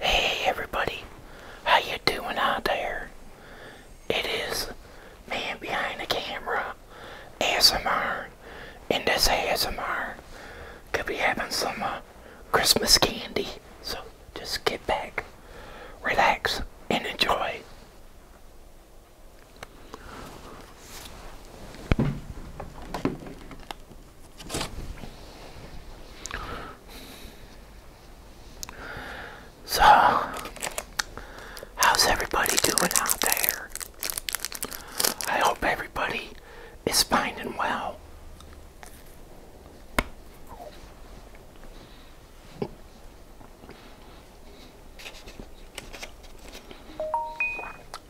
Hey everybody, how you doing out there? It is man behind the camera, ASMR, and this ASMR could be having some uh, Christmas candy, so just get back, relax, and enjoy. So, how's everybody doing out there? I hope everybody is finding well.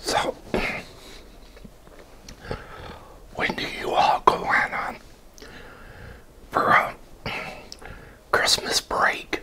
So, when do you all go on, for a Christmas break?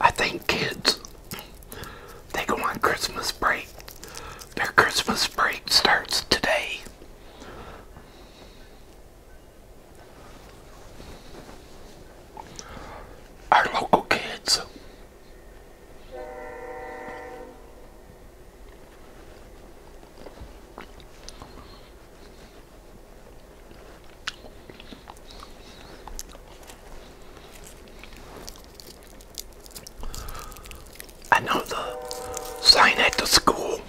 I think kids, they go on Christmas break. Their Christmas break starts today our local kids. I sign at the school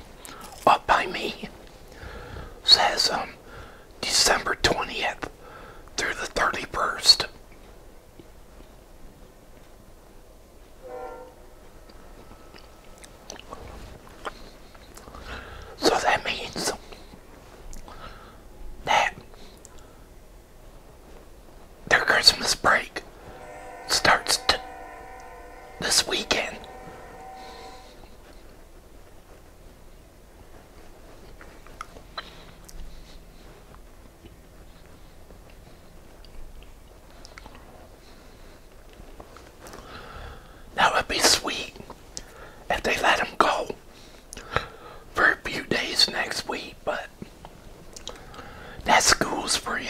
up by me says um, December 20th through the 31st. So that means that their Christmas break starts this weekend. That would be sweet if they let him go for a few days next week, but that school's for you.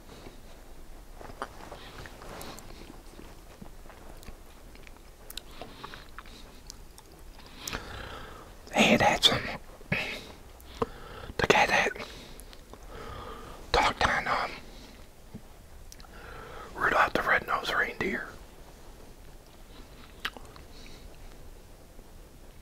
Hey, that's um, the guy that talked on um, Rudolph the Red-Nosed Reindeer.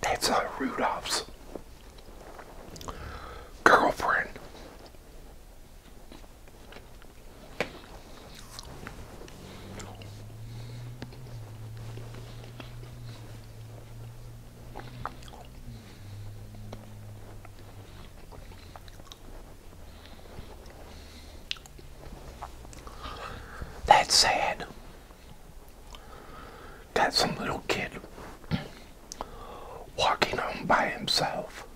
That's uh, Rudolph's girlfriend. That's sad. Got some little kid walking home by himself.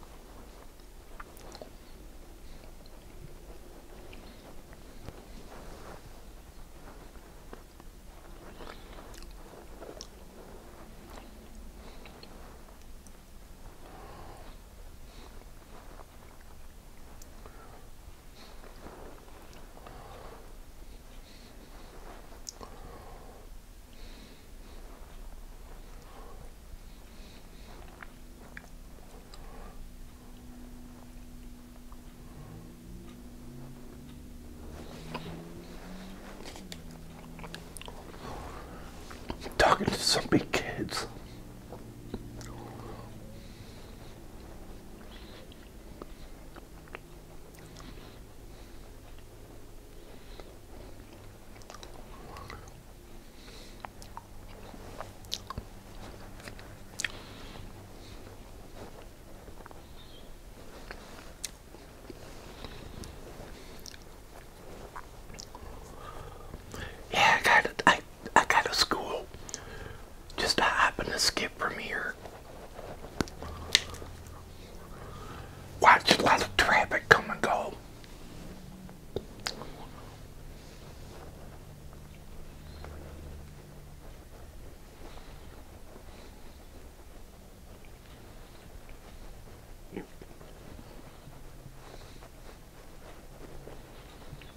Talking to some big kids. Yeah, I got I got a school. Just I happen to skip from here. Watch a lot of traffic come and go.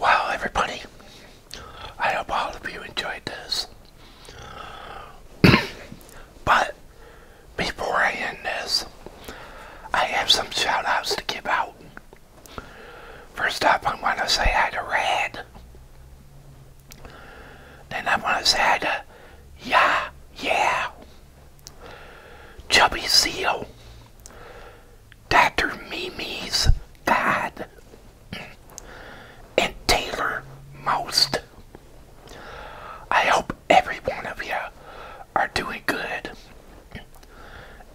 Wow, everybody, I hope all of you enjoyed this. but before I end this, I have some shout outs to give out. First up, I want to say hi to Rad. Then I want to say to Yeah, yeah, Chubby Seal, Dr. Mimi's dad, and Taylor Most. I hope every one of you are doing good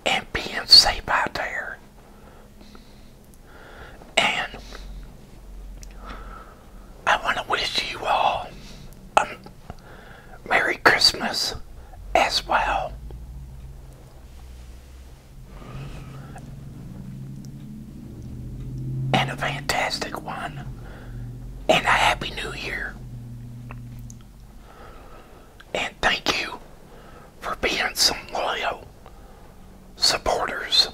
and being safe out there. And I want to wish you all a Merry Christmas as well. And a fantastic one. And a Happy New Year. And thank you for being some loyal supporters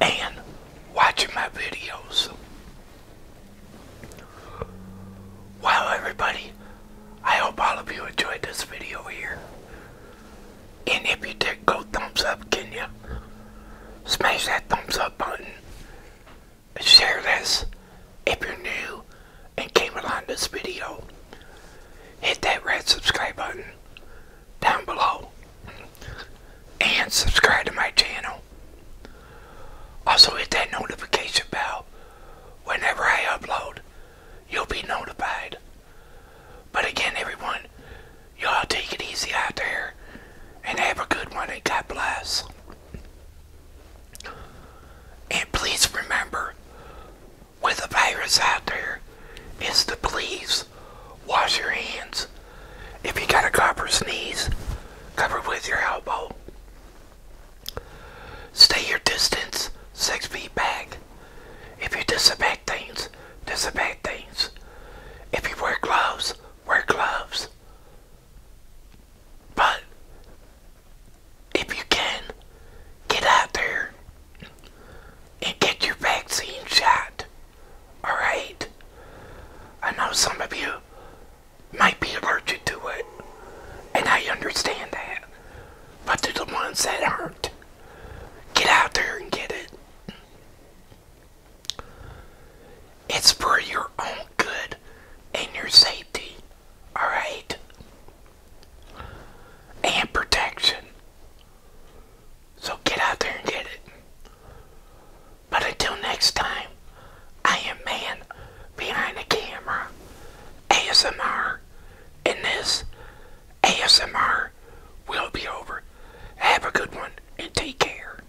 and watching my videos. Wow, everybody, I hope all of you enjoyed this video here. And if you did, go thumbs up, can you? Smash that thumbs up button share this if you're new and came along this video. Hit that red subscribe button down below and subscribe to my channel. Also hit that notification bell. Whenever I upload, you'll be notified. But again, everyone, y'all take it easy out there and have a good one and God bless. And please remember, with the virus out there, is to please wash your hands. If you got a copper sneeze, cover with your elbow. Stay your distance six feet back. If you disinfect things, disinfect things. If you wear gloves, wear gloves. But if you can, get out there and get your vaccine shot. Alright? I know some of you might be allergic to it, and I understand that. But to the ones that aren't, get out there and get it. It's for your own good and your safety, alright? And protection. So get out there and get it. But until next time, I am man behind the camera, ASMR, and this ASMR will be over. Have a good one and take care.